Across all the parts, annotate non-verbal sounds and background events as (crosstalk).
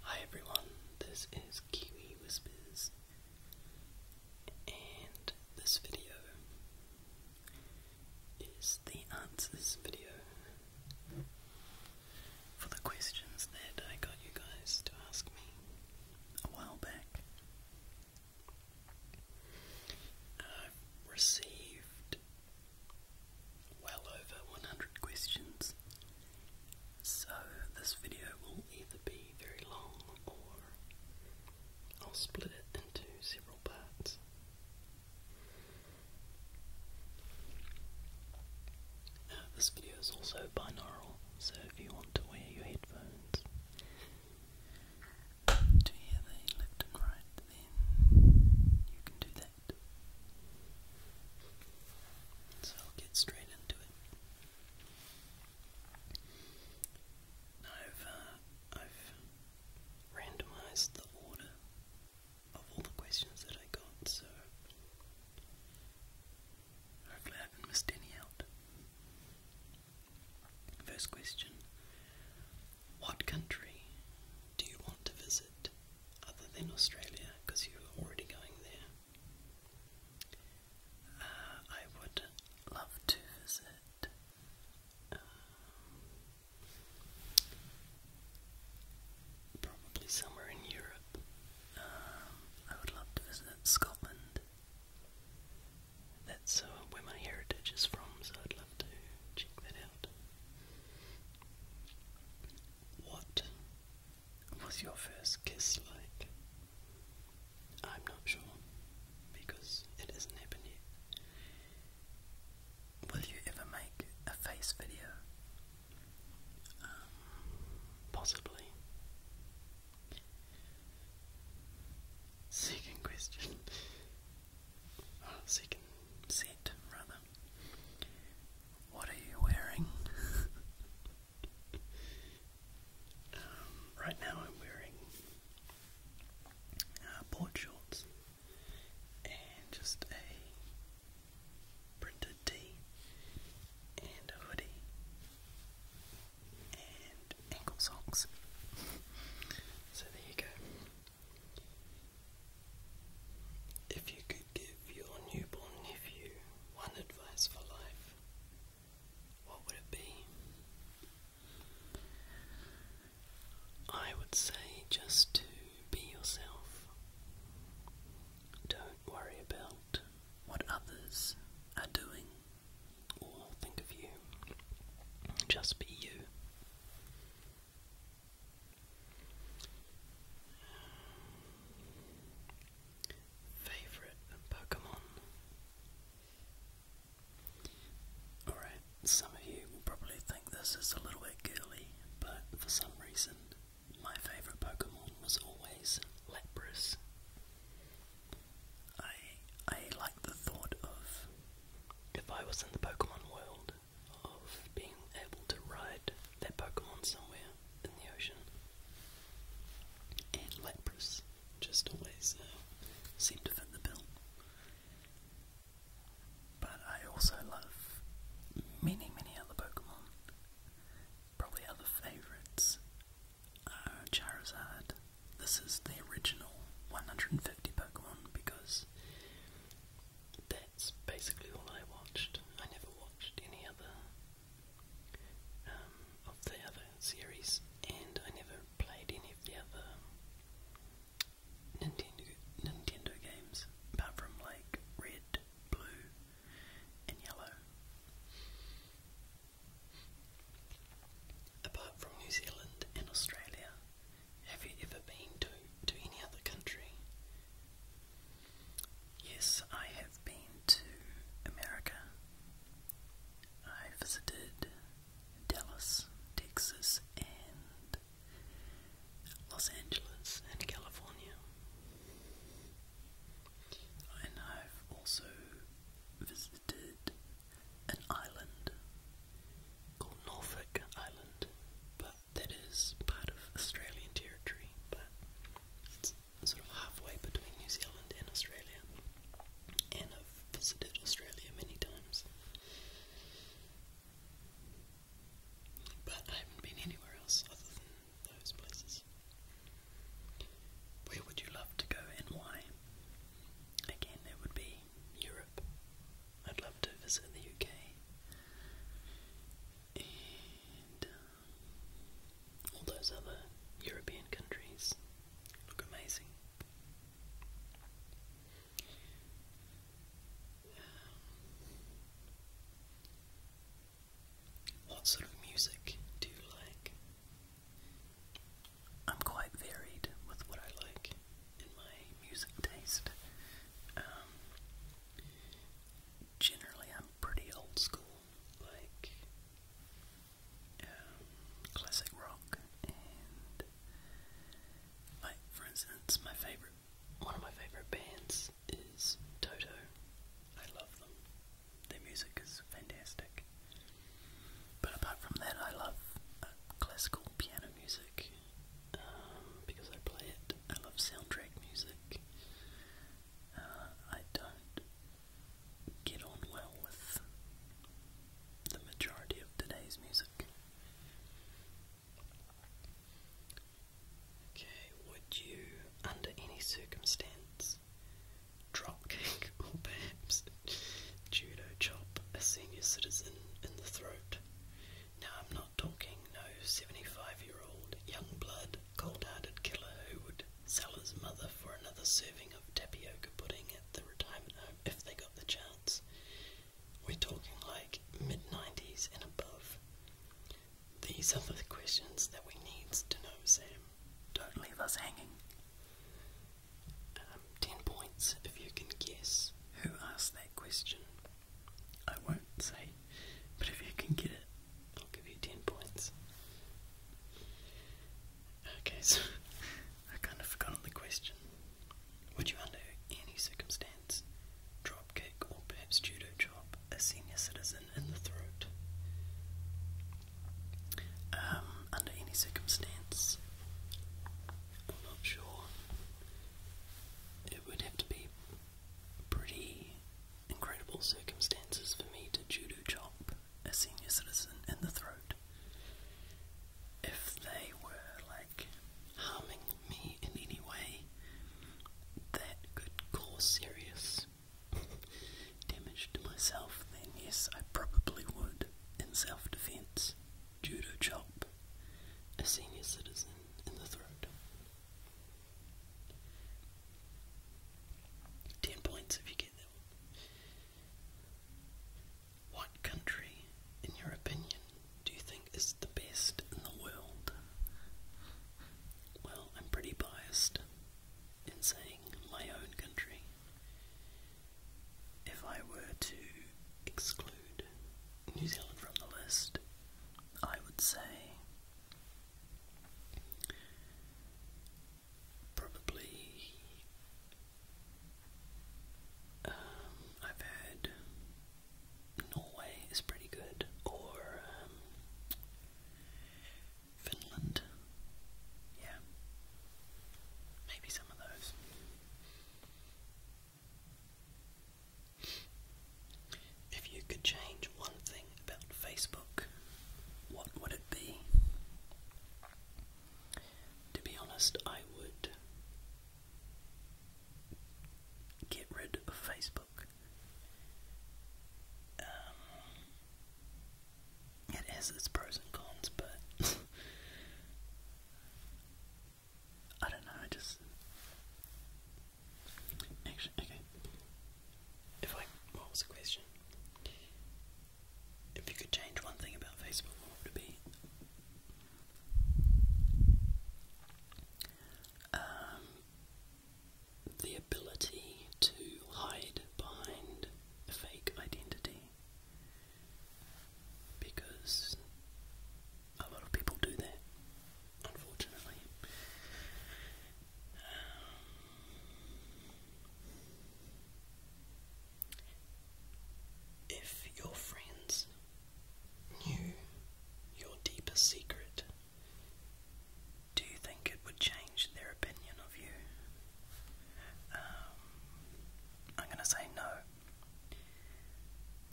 Hi everyone, this is Kiwi Whispers, and this video is the answers video for the questions that I got you guys to ask me a while back. I've received well over 100 questions, so this video will either be very long or I'll split it into several parts. Uh, this video is also binaural, so if you want to wear your headphones, to hear the left and right, then you can do that. So I'll get straight into it. I've, uh, I've randomized the order of all the questions that I got, so hopefully I haven't missed any out. First question What country do you want to visit other than Australia because you're already going there? Uh, I would love to visit. Um, probably somewhere in Europe. Um, I would love to visit Scotland. That's uh, where my heritage is from, so I'd love to check that out. What was your first kiss like? I'm not sure, because it hasn't Will you ever make a face video? Um, possibly. Second question. second set, rather. What are you wearing? (laughs) Um, right now I'm wearing uh, board shorts and just a printed tee and a hoodie and ankle socks. so there you go. If you could give your newborn nephew one advice for life, what would it be? I would say just to be yourself. Don't worry about what others are doing all i think of you. Just be you. Favorite Pokemon? Alright, some of you will probably think this is a little bit girly, but for some reason, my favorite Pokemon was always Lapras. I I like the thought of if I was in the Pokemon world of being able to ride that Pokemon somewhere in the ocean. And Lapras just always uh, seemed to fit the bill. But I also love many, many other Pokemon. Probably other favourites uh, Charizard. This is the original 150 Pokemon because that's basically all I watched. I never watched any other um, of the other series, and I never played any of the other Nintendo Nintendo games apart from like Red, Blue, and Yellow. Apart from New Zealand and Australia, have you ever been to, to any other country? Yes, I have been to America. I visited Dallas, Texas, and Los Angeles and California. And I've also vis visited an island called Norfolk Island, but that is part of Australian territory, but it's sort of halfway between New Zealand and Australia. And I've visited Australia many times. But I haven't been anywhere else other than those places. Where would you love to go and why? Again, it would be Europe. I'd love to visit the UK. And um, all those other European countries look amazing. Um, what sort of music do you like? I'm quite varied with what I like in my music taste. Um, generally, I'm pretty old school, like um, classic rock, and like for instance, my favorite, one of my favorite bands is Toto. I love them. Their music is fantastic. But apart from that, I love uh, classical piano music um, because I play it. I love soundtrack music. Uh, I don't get on well with the majority of today's music. Okay, would you, under any circumstance, Dropkick, (laughs) or perhaps judo chop a senior citizen in the throat. Now, I'm not talking no 75 year old young blood, cold hearted killer who would sell his mother for another serving of tapioca pudding at the retirement home if they got the chance. We're talking like mid 90s and above. These are the questions that we need to know, Sam. Don't leave us hanging. Um, 10 points if you can guess who asked that question. I won't say, but if you can get it, I'll give you 10 points. Okay, (laughs) so I kind of forgotten the question. Would you, under any circumstance, drop kick or perhaps judo chop a senior citizen in the throat? Um, under any circumstance. I'm not sure. It would have to be pretty incredible circumstances for me to judo chop a senior citizen in the throat if they were like harming me in any way that could cause serious cause (laughs) damage to myself, then yes, I probably would, in self defense, judo chop a senior citizen in the throat. 10 points if you get that one. What country, in your opinion, do you think is the best in the world? Well, I'm pretty biased in saying my own country. If I were to exclude New Zealand from the list, I would say probably um, I've heard Norway is pretty good, or um, Finland. Yeah. Maybe some of those. If you could change one thing about Facebook, what would it be? To be honest, I would get rid of Facebook. Um, it has its pros and cons, but (laughs) I don't know, I just actually okay. If I what was the question? If you could change one thing about Facebook, what would be? Um the ability to hide behind a fake identity because a lot of people do that, unfortunately. Um, if your friends knew your deepest secret, do you think it would change their opinion of you? Um, I'm gonna say no.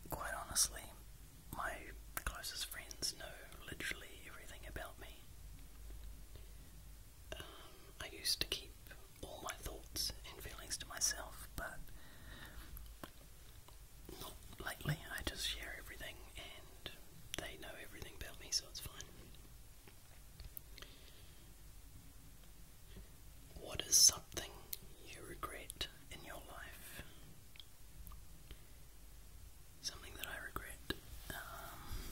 Quite honestly, my closest friends know literally everything about me. Um, I used to keep all my thoughts and feelings to myself, but lately. I just share everything and they know everything about me, so it's fine. What is something you regret in your life? Something that I regret. Um,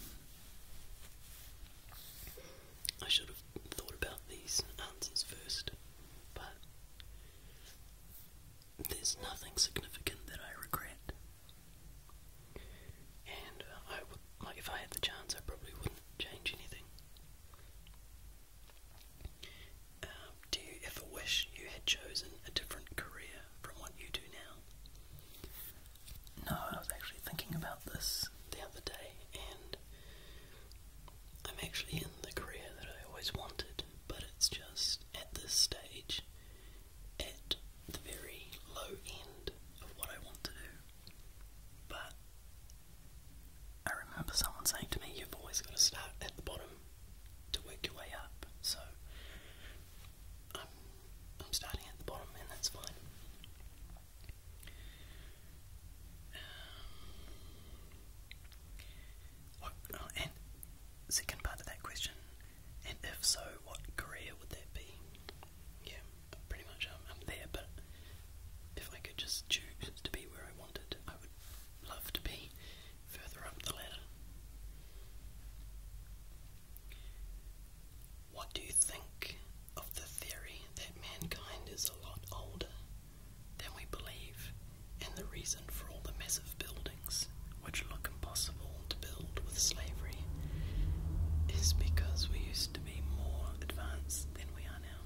I should have thought about these answers first, but there's nothing significant that I regret. And uh, I would, like, if I had the chance, I probably wouldn't change anything. Uh, do you ever wish you had chosen a different career from what you do now? No, I was actually thinking about this the other day, and I'm actually in the career that I always wanted, but it's just at this stage at the very low end of what I want to do. But I remember someone saying to me, You've always got to start at the bottom to work your way up. So I'm, I'm starting at the bottom, and that's fine. Um, oh, and second part of that question and if so, what career would that be? Yeah, pretty much um, i there, but if I could just choose to be where I wanted, I would love to be further up the ladder. What do you think of the theory that mankind is a lot older than we believe and the reason for all the massive buildings which look impossible to build with slavery is because we used to be more advanced than we are now.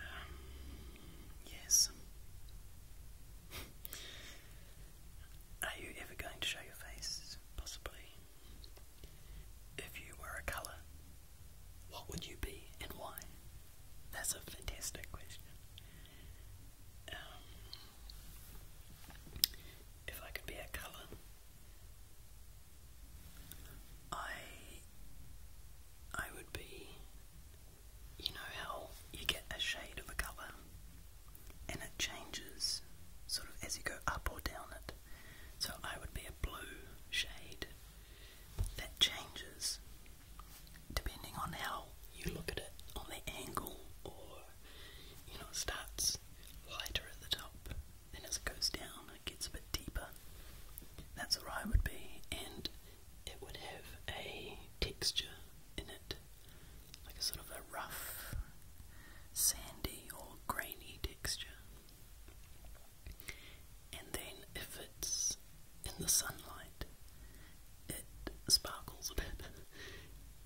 Um, yes. (laughs) are you ever going to show your face? Possibly. If you were a colour, what would you be and why? That's a fantastic question. Um, if I could be a colour, I I would be. You know how you get a shade of a colour and it changes sort of as you go up or down it. So I would be a blue shade that changes depending on how you look at it on the angle or you know, starts lighter at the top, then as it goes down, it gets a bit deeper. That's what I would be, and it would have a texture in it, like a sort of a rough, sandy, or grainy texture. And then if it's in the sunlight, it sparkles a bit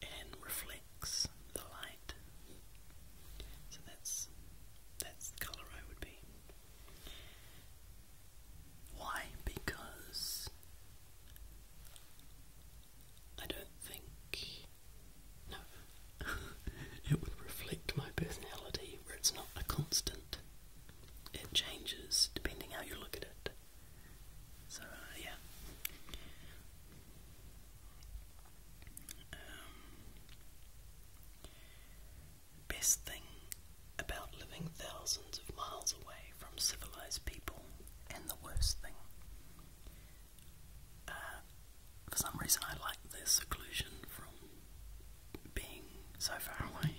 and reflects the light. So that's that's the colour I would be. Why? Because I don't think no (laughs) it would reflect my personality where it's not a constant. It changes depending how you look at it. So, yeah. Um, best thing about living thousands of miles away from civilized people, and the worst thing. Uh, for some reason, I like the seclusion from being so far away.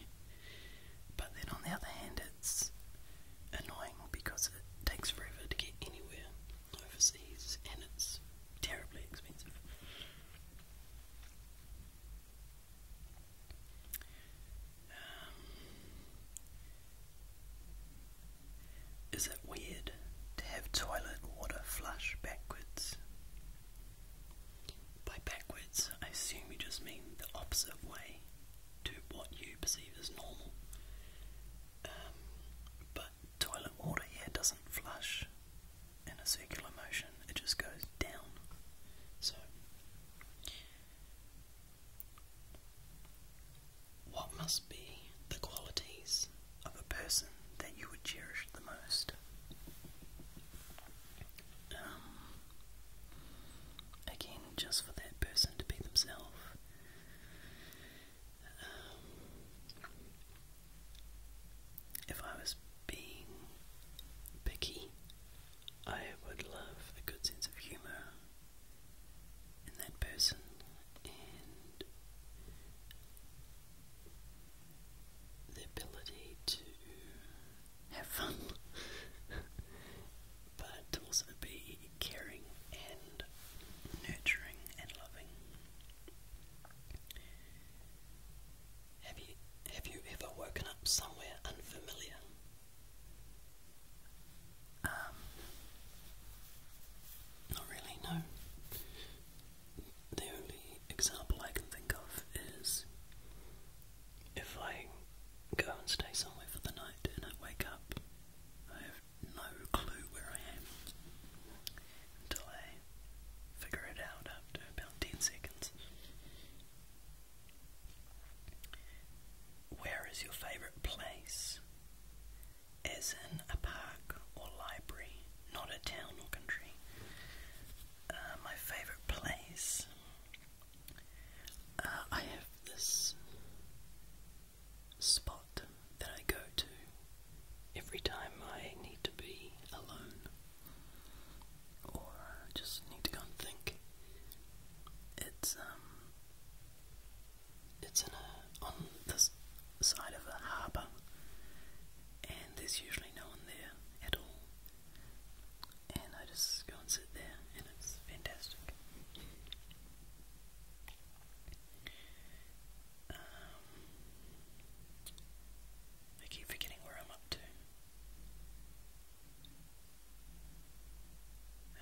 But then, on the other hand, it's annoying because it takes forever to get anywhere overseas and it's terribly expensive. Um, is it weird to have toilet water flush backwards? By backwards, I assume you just mean the opposite way to what you perceive as normal. Um, but toilet water here doesn't flush in a circular motion, it just goes down. So, what must be the qualities of a person that you would cherish the most? Um, again, just for that person to be themselves. Um, if I was being picky, I would love a good sense of humour in that person and the ability to have fun (laughs) but to also be caring and nurturing and loving. Have you have you ever woken up somewhere unfamiliar? Um. not really, no. The only example I can think of is if I go and stay somewhere for the night, and I wake up. I have no clue where I am until I figure it out after about 10 seconds. Where is your favourite place? As in a park or library, not a town or country. Uh, my favourite place uh, I have this spot that I go to every time I need to be alone or just need to go and think. It's um, it's in a on this side of a harbour, and there's usually no one there at all and I just go and sit there, and it's fantastic. Um, I keep forgetting where I'm up to. Um,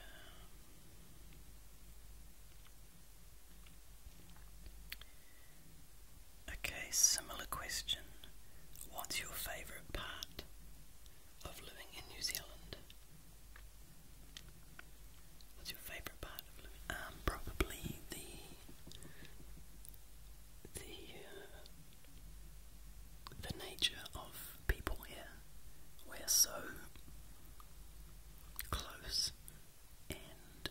okay, similar question. What's your favourite part of living in New Zealand? Um, probably the the uh, the nature of people here. We're so close and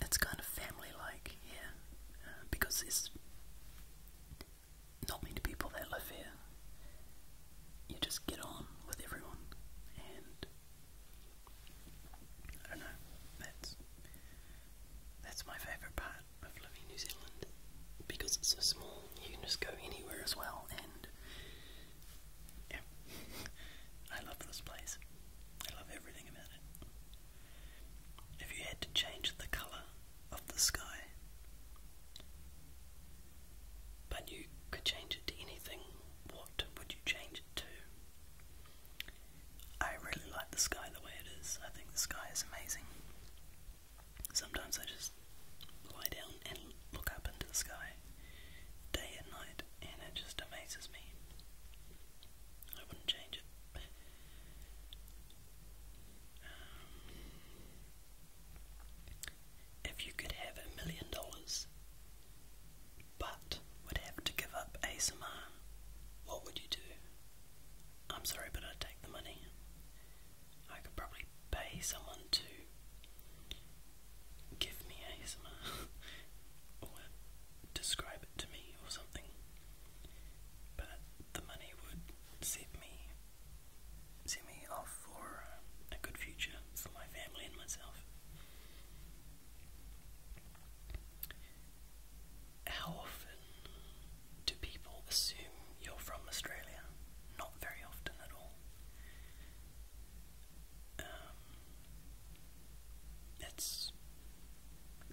it's kind of family like here uh, because it's not many people that live here. You just get on with everyone, and I don't know. That's that's my favourite part of living in New Zealand because it's so small. You can just go anywhere as well, and yeah, (laughs) I love this place. I love everything about it if you had to change the colour of the sky, but you could change it to anything, what would you change it to? I really like the sky the way it is. I think the sky is amazing. Sometimes I just lie down and look up into the sky day and night, and it just amazes me. I wouldn't change it. Um, if you could have a million dollars but would have to give up ASMR, what would you do? I'm sorry, but I'd take the money. I could probably pay someone to give me ASMR (laughs) or describe it to me or something but the money would set me set me off for a good future for my family and myself. How often do people assume you're from Australia? Not very often at all. Um, it's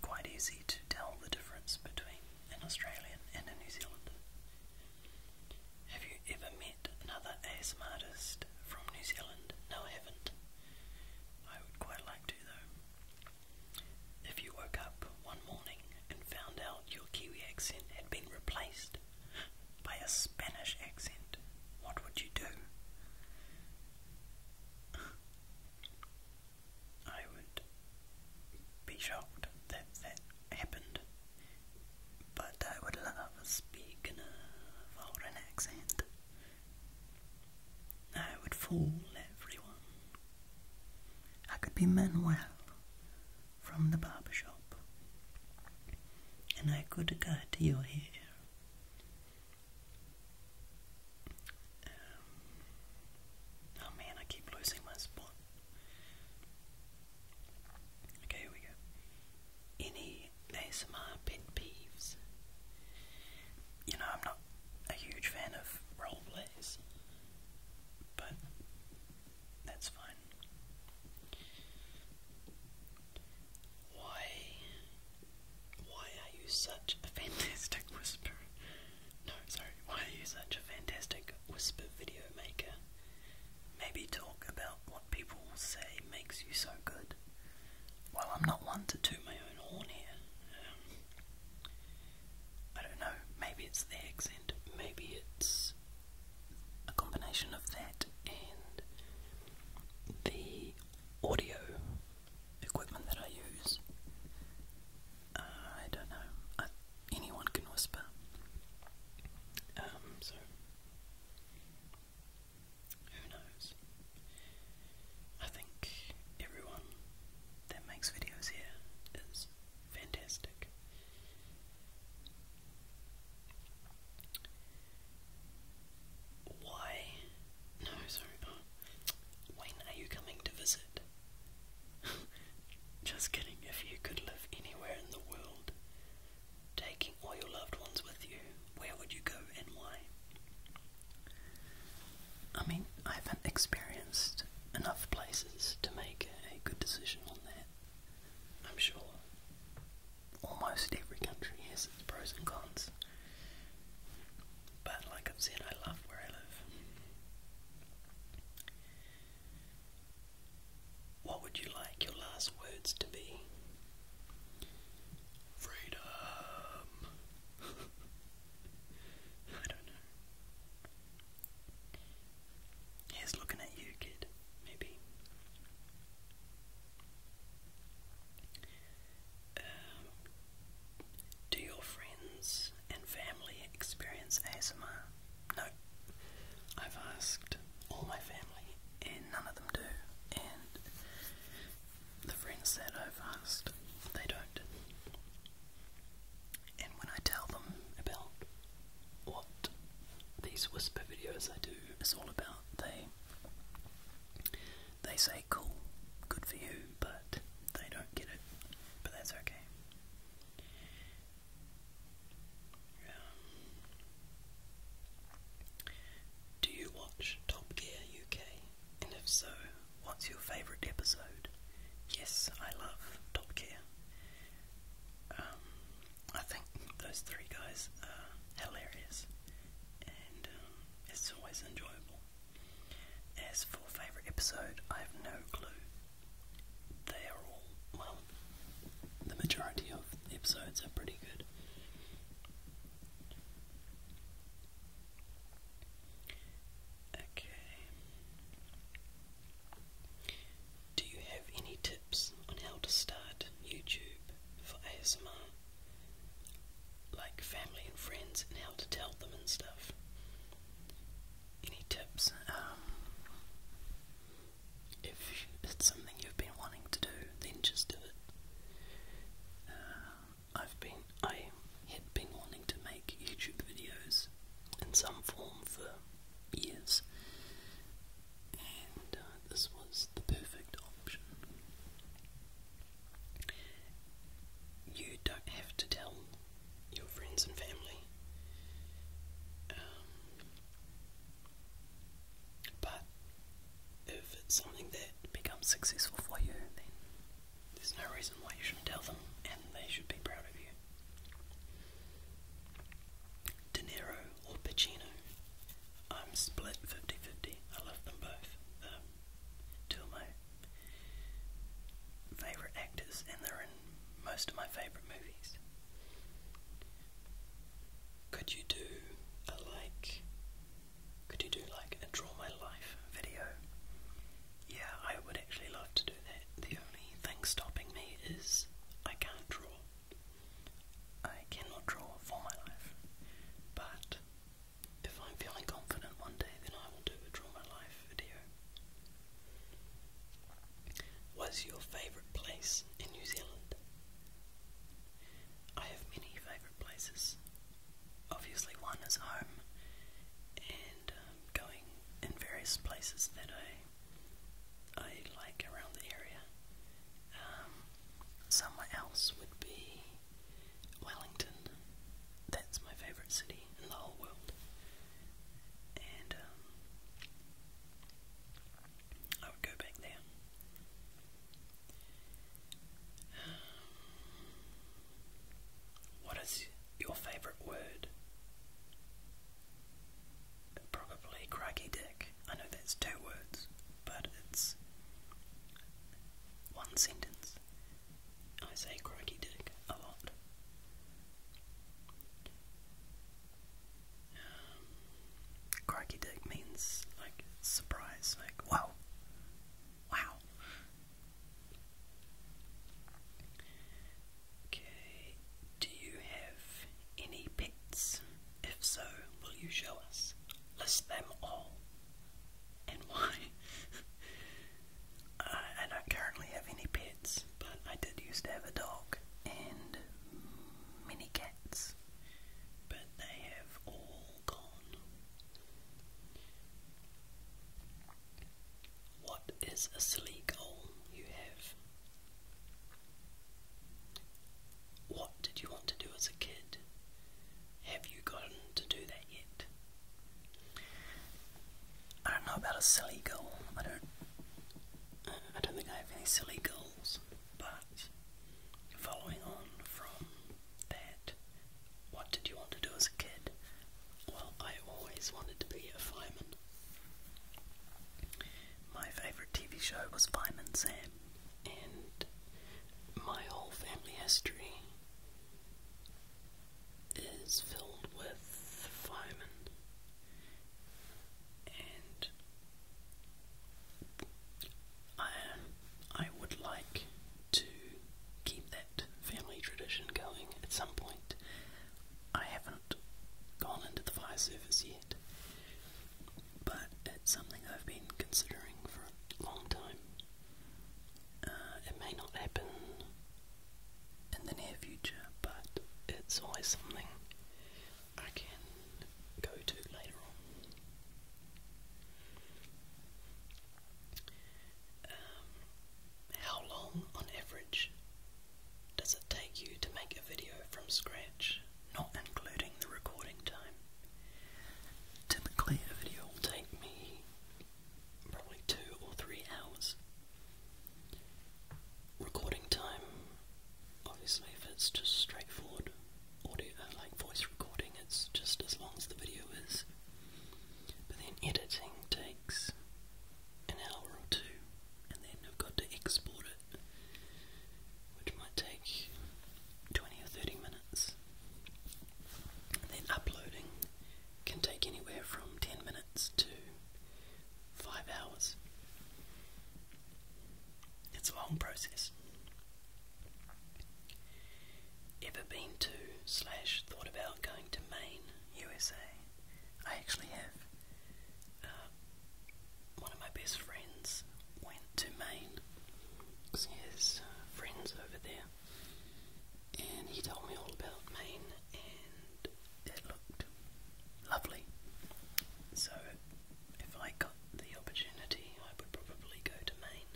quite easy to tell the difference between an Australian and a New Zealander. Have you ever met another ASM artist from New Zealand? No, I haven't. I would quite like to, though. If you woke up one morning and found out your Kiwi accent had been replaced by a Spanish accent, what would you do? I would be shocked that that happened, but I would love a speak foreign accent. I would fool everyone. I could be Manuel from the barber shop, and I could cut your hair. Um, oh man, I keep losing my spot. Okay, we go. Any ASMR pet peeves? You know, I'm not a huge fan of role plays, but that's fine. Why? Why are you such a (laughs) fantastic whisperer? No, sorry, why are you such a fantastic whisper video maker? Maybe talk about what people say makes you so good. Well, I'm not one to toot my own horn here. Um, I don't know, maybe it's the accent, maybe it's a combination of that and the audio equipment that I use. Uh, I don't know. anyone can whisper. Um, so who knows? I think everyone that makes videos here is fantastic. Why? No, sorry. When are you coming to visit? (laughs) Just kidding, if you could live anywhere in the world, taking all your loved ones with you, where would you go and why? I mean, I haven't experienced enough places to make a good decision on that. I'm sure almost every country has its pros and cons. But like I've said, I love where I live. What would you like your last words to be? Freedom. (laughs) I don't know. He's looking at you, kid, maybe um, do your friends and family experience ASMR? No. I've asked all my family and none of them do. And the friends that I've asked, they don't. And when I tell them about what these whisper videos I do is all about, they they say cool, good for you, but they don't get it. But that's okay. do you watch Top Gear UK? And if so, what's your favourite episode? Yes, I love Top Gear. Um, I think those three guys are hilarious, and um, it's always enjoyable. As for favourite episode, I have no clue. They are all, well, the majority of episodes are pretty good. Okay. Do you have any tips on how to start YouTube for ASMR? like family and friends and how to tell them and stuff. Any tips? Um, if it's something you've been wanting to do, then just do it. Uh, I've been, I had been wanting to make YouTube videos in some form for years, and uh, this was the perfect option you don't have to tell your friends and family. Um, but if it's something that becomes successful for you, then there's no reason why you shouldn't tell them, and they should be proud of you. De Niro or Pacino, I'm split 50 50. I love them both. Um, two of my favorite actors, and they're in most of my favorite movies. Could you do a like? Could you do like a draw my life video? Yeah, I would actually love to do that. The only thing stopping me is I can't draw. I cannot draw for my life, but if I'm feeling confident one day, then I will do a Draw My Life video. What's your favourite place in New Zealand? I have many favourite places. Obviously, one is home, and um, going in various places that I I like around the area. Um, somewhere else would be Wellington. That's my favourite city in the whole world. And um, I would go back there. what is your favourite word? Probably crikey dick. I know that's two words, but it's one sentence. I say crikey dick a lot. Um, dick means like surprise, like wow, wow. Okay, do you have any pets? If so, will you show us? List them all and why. (laughs) Uh, I, don't currently have any pets, but I did used to have a dog and many cats, but they have all gone. What is a silly goal you have? What did you want to do as a kid? Have you gotten to do that yet? I don't know about a silly goal. I don't. I don't think I have any silly goals, but following on from that, what did you want to do as a kid? Well, I always wanted to be a fireman. My favourite TV show was Fireman Sam, and my whole family history is filled with firemen and I I would like to keep that family tradition going at some point. I haven't gone into the fire service yet, but it's something I've been considering for a long time uh, it may not happen in the near future, but it's always something I can go to later on. Um, how long, on average, does it take you to make a video from scratch, not including the recording time? Typically, a video will take me probably two or three hours. Recording time, obviously, if it's just straightforward audio, uh, like voice recording, it's just as long as the video is. But then editing takes an hour or two, and then I've got to export it, which might take 20 or 30 minutes. Then uploading can take anywhere from 10 minutes to 5 hours. It's a long process. Ever been to slash thought about going to Maine, USA? I actually have. Uh, one of my best friends went to Maine because he has friends over there and he told me all about Maine, and it looked lovely. So, if I got the opportunity, I would probably go to Maine.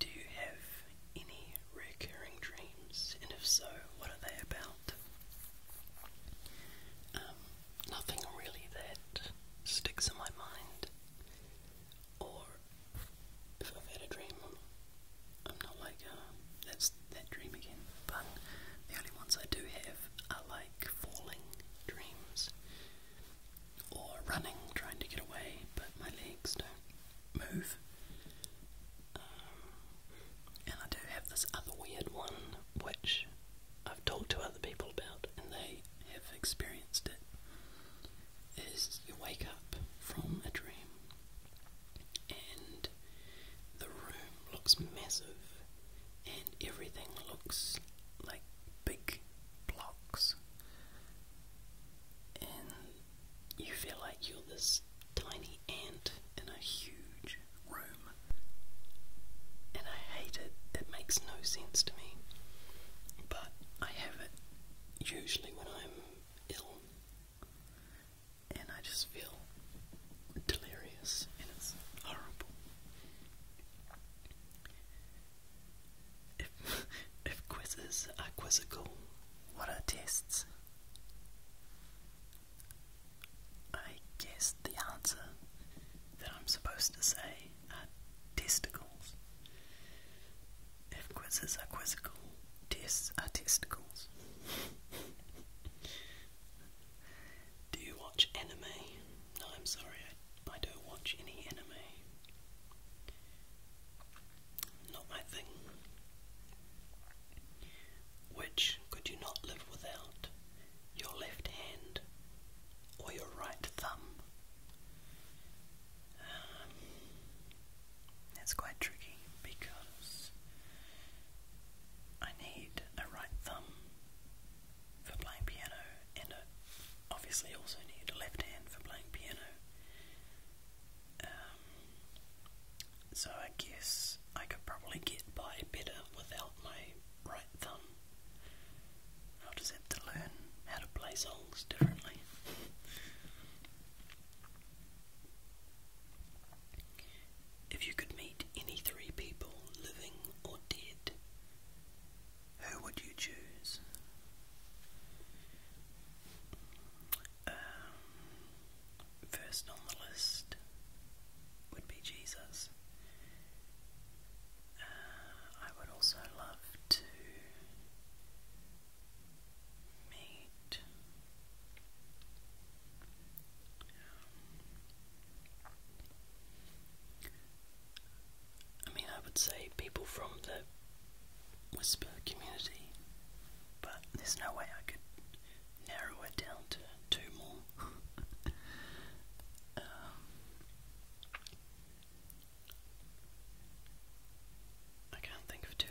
Do you have any recurring dreams, and if so, what are they about? Um, nothing really that sticks in my mind or if I've had a dream, I'm not like, uh, that's that dream again, but the only ones I do have are like falling dreams or running, trying to get away, but my legs don't move. Um, and I do have this other weird one which I've talked to other people about, and they have experienced it is you wake up from a dream and the room looks massive and everything looks like big blocks and you feel like you're this tiny ant in a huge room and I hate it, it makes no sense to me but I have it usually when I'm ill and I just feel delirious and it's horrible. If, (laughs) if quizzes are quizzical, what are tests? I guess the answer that I'm supposed to say testicles. If quizzes are quizzical, tests are testicles. do you watch anime? No, I'm sorry, I don't watch any anime. Not my thing. Which could you not live without? Your left hand or your right thumb? Um, that's quite tricky because I need a right thumb for playing piano, and I obviously also need a left hand for playing piano. Um, so I guess I could probably get by better without my right thumb. I'll just have to learn how to play holes differently. If you could meet any three people, living or dead, who would you choose? Um, first on the list would be Jesus. I would also love to meet um, I mean, I would say people from the Whisper community, but there's no way I could narrow it down to two more. (laughs) Um, I can't think of two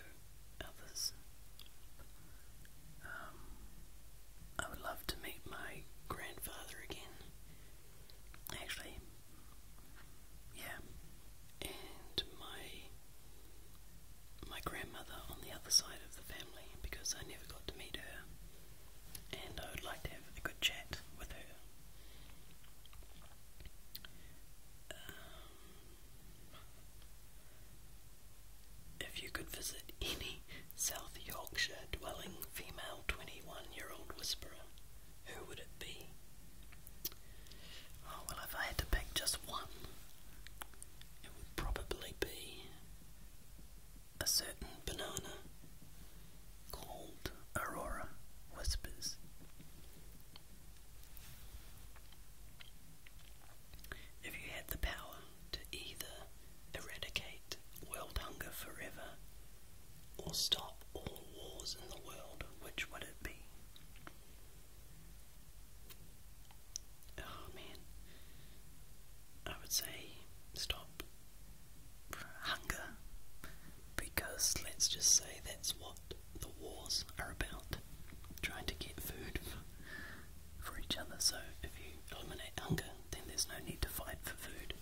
others. Um, I would love to meet my grandfather again. Actually, yeah, and my my grandmother on the other side of the family because I never got to meet her, and I would like to have a um, if you could visit any South Yorkshire dwelling female 21 year old whisperer, who would it be? Oh, well, if I had to pick just one, it would probably be a certain banana Cold Aurora Whispers. If you had the power to either eradicate world hunger forever or stop all wars in the world, which would it be? Oh man, I would say stop hunger, because let's just say that's what the wars are about trying to get food for each other. So if you eliminate hunger, then there's no need to fight for food.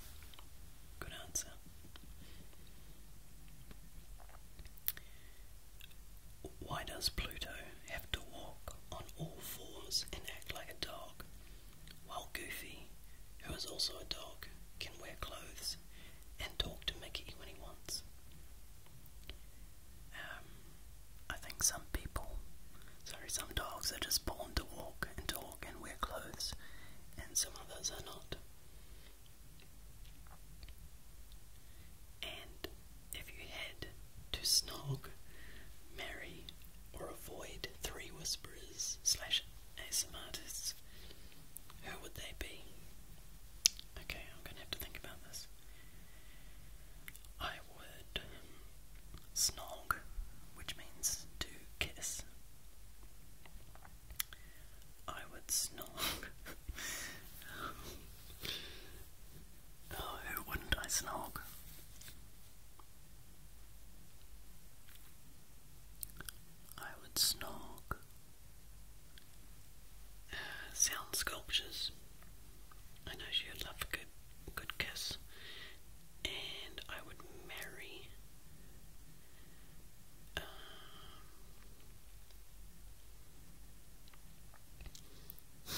Good answer. Why does Pluto have to walk on all fours and act like a dog? while Goofy, who is also a dog, can wear clothes and talk to Mickey when he wants. Um, I think some people, sorry, some dogs are just born to walk and talk and wear clothes, and some others are not. And if you had to snog, marry, or avoid three whisperers slash ASM artists, who would they be? Okay, I'm gonna have to think about this. I would snog, which means to kiss. I would snog. (laughs) Oh, who wouldn't I snog? I would snog uh, sound sculptures. I know she would love a good, good kiss, and I would marry. Um, (laughs)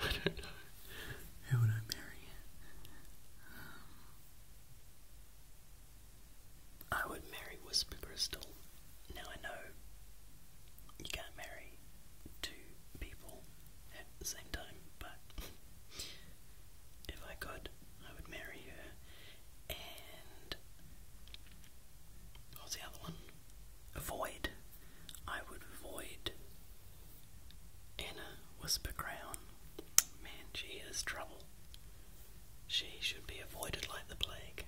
I don't know. Who would I marry? Um, I would marry Whisper Crystal. Now I know you can't marry two people at the same time, but if I could, I would marry her and. What the other one? Avoid. I would avoid Anna Whispercrown. Man, she is trouble. She should be avoided like the plague.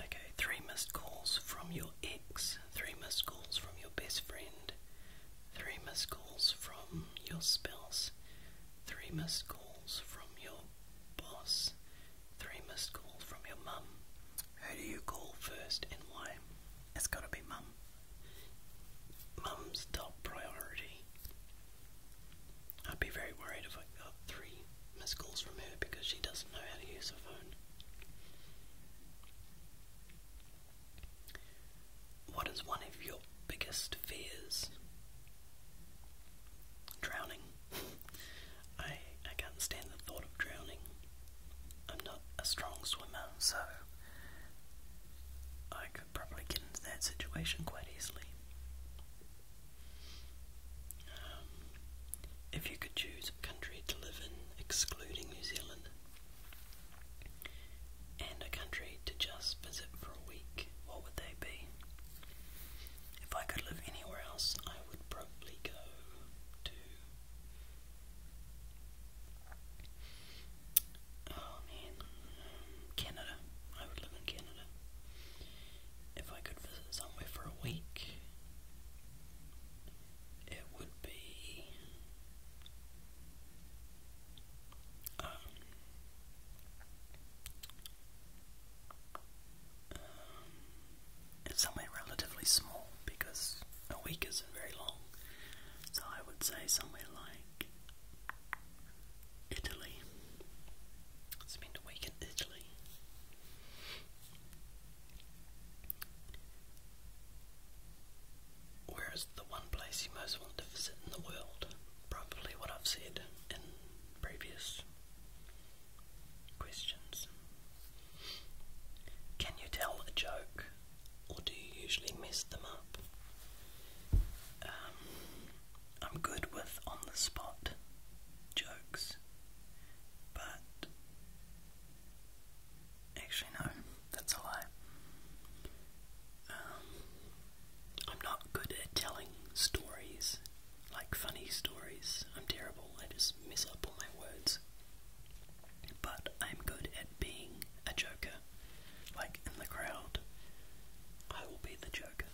Okay, three missed calls from your ex, three missed calls from your best friend, three missed calls from your spouse, three missed calls from your boss, Three missed calls from your mum. Who do you call first and why? It's gotta be mum. Mum's top priority. I'd be very worried if I got three missed calls from her because she doesn't know how to use a phone. What is one of your biggest fears? Drowning. I I can't stand the thought of drowning. I'm not a strong swimmer, so I could probably get into that situation quite easily. Um, if you could choose a country to live in, excluding New Zealand, and a country to just visit for a week, what would they be? If I could live anywhere else, I would probably go to. Oh man, Canada. I would live in Canada. If I could visit somewhere for a week, it would be. Um, um and somewhere relatively small because a week isn't very long. So I would say somewhere like Italy. Spend a week in Italy. Where is the one place you most want to visit in the world? Probably what I've said in previous Questions. Can you tell a joke or do you usually mess them up? Um, I'm good with on the spot jokes, but actually, no, that's a lie. Um, I'm not good at telling stories like funny stories. I'm terrible, I just mess up all my words. But I'm good at being a joker. Like in the crowd, I will be the joker.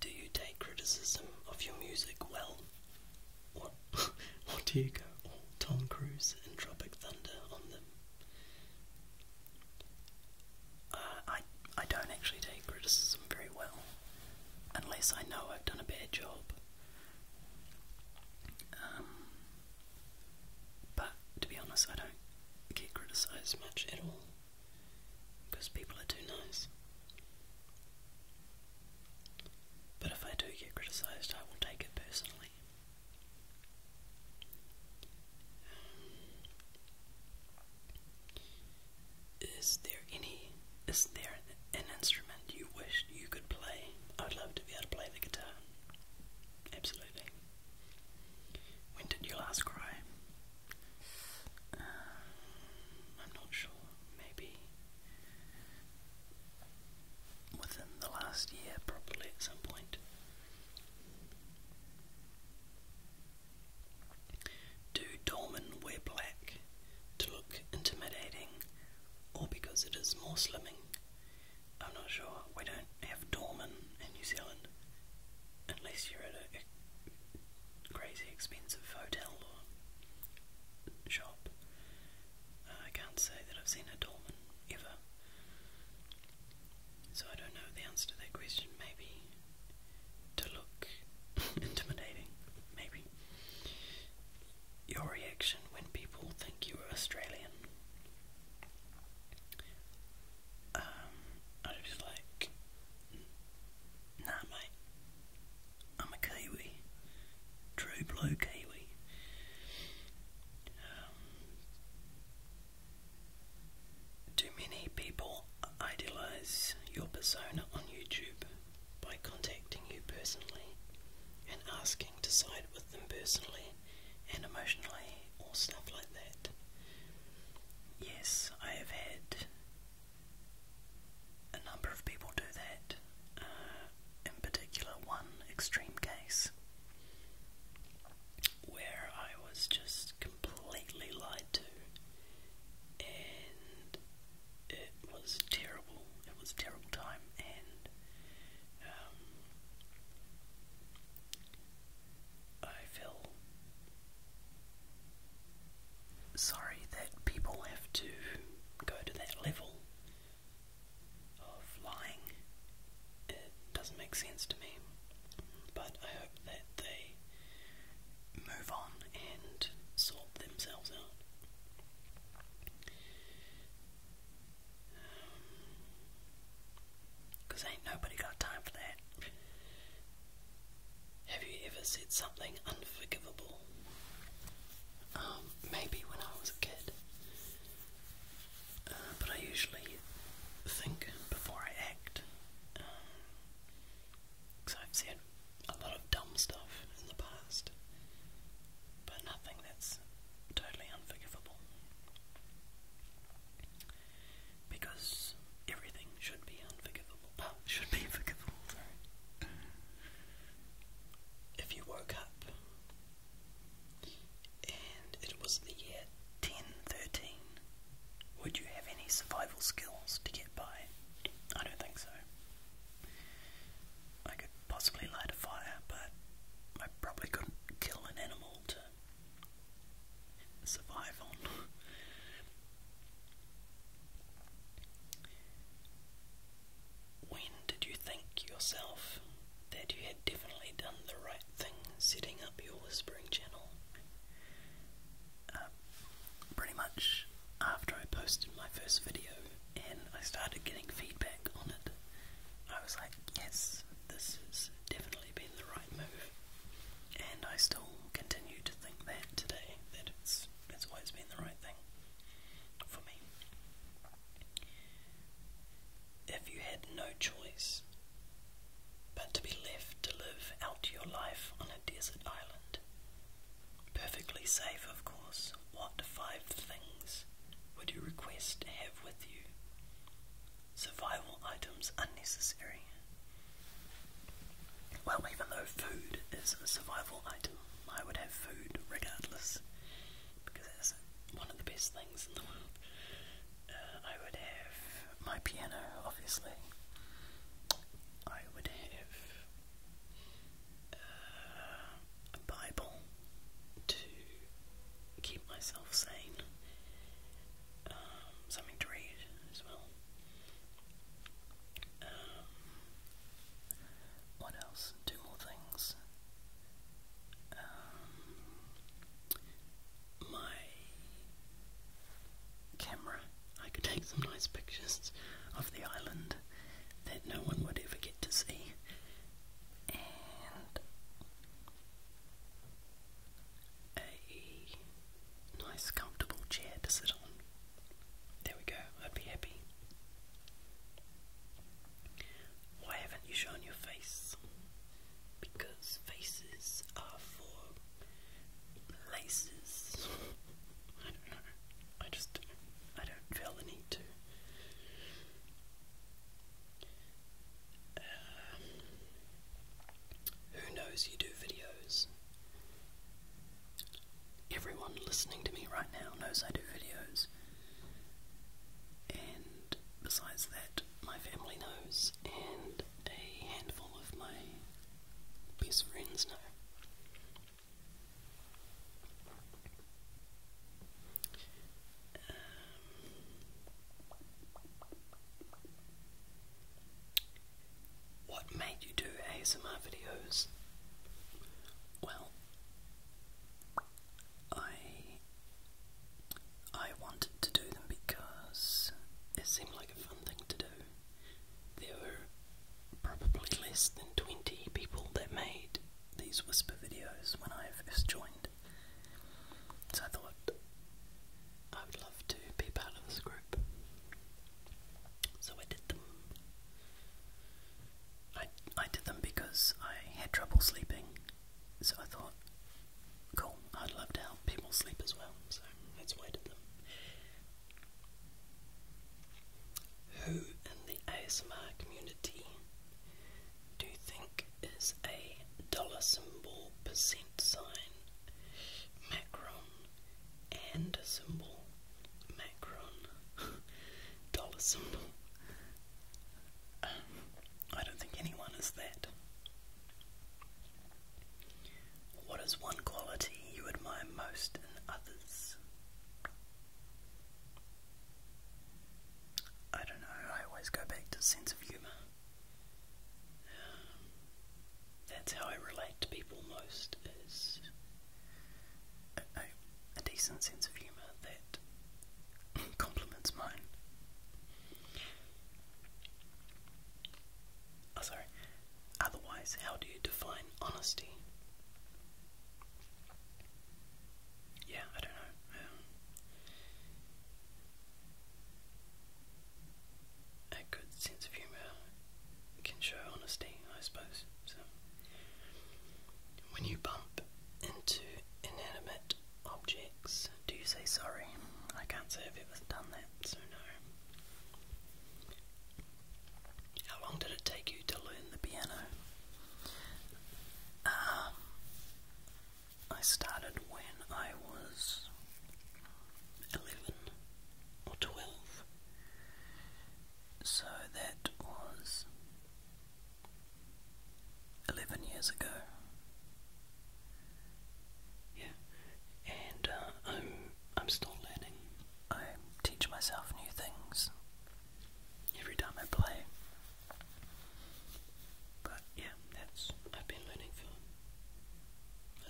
Do you take criticism of your music well? What? or (laughs) do you go all oh, Tom Cruise and Tropic Thunder on them? Uh, I I don't actually take criticism very well, unless I know I've done a bad job. Um, but to be honest, I don't get criticised much at all because people are too nice. But if I do get criticised, I will take it personally. Is there any is there an instrument you wish you could play? I would love to be able to play the guitar. Absolutely. When did you last cry? Um, I'm not sure. Maybe within the last year, probably at some point. Do doormen wear black to look intimidating or because it is more slimming? I'm not sure. We don't have doormen in New Zealand unless you're at a crazy expensive hotel or shop. I can't say that I've seen a doorman ever. So I don't know the answer to that question. Maybe to look (laughs) intimidating. Maybe. Your reaction when people think you are Australian. Um, I just like, nah, mate. I'm a Kiwi. True blue Kiwi. Um, do many people idealize your persona on YouTube by contacting you personally and asking to side with them personally and emotionally or stuff like that. Yes, I have had a number of people do that, uh, in particular, one extreme case where I was just completely lied to, and it was terrible. It was terrible time, and um, I feel sorry that people have to go to that level of lying. It doesn't make sense to me. But I hope that they move on and sort themselves out. Because um, ain't nobody got time for that. Have you ever said something unforgivable? Um, maybe when I was a kid but I usually think before I act because um, I've said a lot of dumb stuff in the past, but nothing that's totally unforgivable because everything should be unforgivable. (laughs) Oh, should be forgivable. If you woke up and it was the year 1013. Would you have any survival skills to get by? I don't think so. I could possibly light a fire, but I probably couldn't kill an animal to survive on. (laughs) when did you think yourself that you I'd definitely done the right thing setting up your whispering channel. Um, pretty much after I posted my first video and I started getting feedback on it, I was like, yes, this has definitely been the right move. And I still continue to think that today, that it's, it's always been the right thing for me if you had no choice but to be left to live out your life on a desert island? Perfectly safe, of course. What five things would you request to have with you? Survival items unnecessary. Well, even though food is a survival item, I would have food regardless because it's one of the best things in the world. I would have my piano, obviously. I would have uh, a Bible to keep myself sane, um, something to read as well. Um, what else? Two more things. Um, my camera, I could take some nice pictures of the island that no one would ever get to see. And a nice comfortable chair to sit on. There we go, I'd be happy. Why haven't you shown your face? because faces are for laces. I don't know. I just I don't feel the need to. Uh, who knows you do videos? Everyone listening to me right now knows I do videos. And besides that, my family knows, and a handful of my best friends know. Um, what made you do ASMR videos? Well, I I wanted to do them because it seemed like a fun thing to do. There were probably less than 20 people that made these whisper videos when I first joined. So I thought I would love to be part of this group. So I did them. I, I did them because I had trouble sleeping so I thought, cool, I'd love to help people sleep as well, so let's wait. did them. Who in the ASMR community do you think is a dollar symbol, percent sign, macron, and symbol, macron, (laughs) dollar symbol? I don't think anyone is that. What is one quality you admire most in others? I don't know, I always go back to sense of humour. That's how I relate to people most, is a, decent sense of humour that (laughs) complements mine. Oh, sorry. Otherwise, how do you define honesty? Yeah, I don't know. Um, a good sense of humour can show honesty, I suppose. So, when you bump into inanimate objects do say sorry. I can't say I've ever done that, so no. How long did it take you to learn the piano? Uh, I started when I was 11 or 12, so that was 11 years ago. Yeah, and uh, I'm, I'm still learning. I teach myself new things every time I play. But yeah, that's, I've been learning for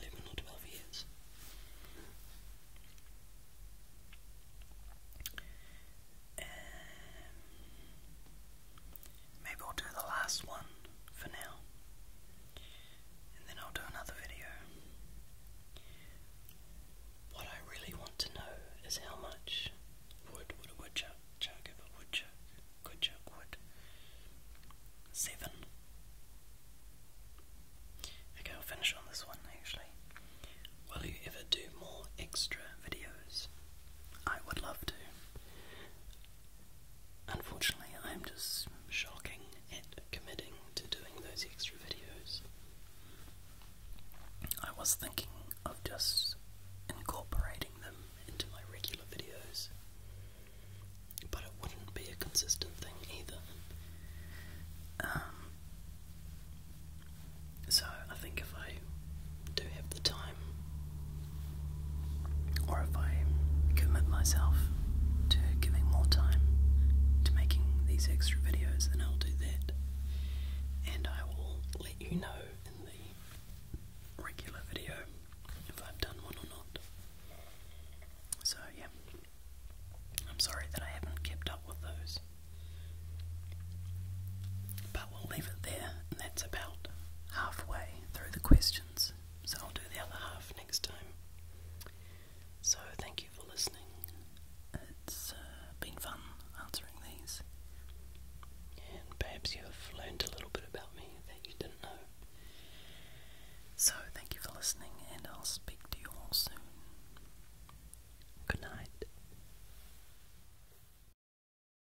11 or 12 years. Um, Maybe I'll do the last one for now, and then I'll do another video. What I really want to know is how much wood would a woodchuck chuck if a woodchuck could chuck wood? Seven. Okay, I'll finish on this one actually. Will you ever do more extra videos? I would love to. Unfortunately, I'm just shocking at committing to doing those extra videos. I was thinking of just incorporating them into my regular videos, but it wouldn't be a consistent thing either. Um, so I think if I do have the time, or if I commit myself to giving more time to making these extra videos, then I'll do that. And I will let you know in the regular video if I've done one or not. So, yeah. I'm sorry that I haven't kept up with those. But we'll leave it there, and that's about halfway through the questions. So I'll do the other half next time. So thank you for listening. It's uh, been fun answering these. And perhaps you have learned a little bit about me that you didn't know. So thank you for listening, and I'll speak to you all soon. Good night.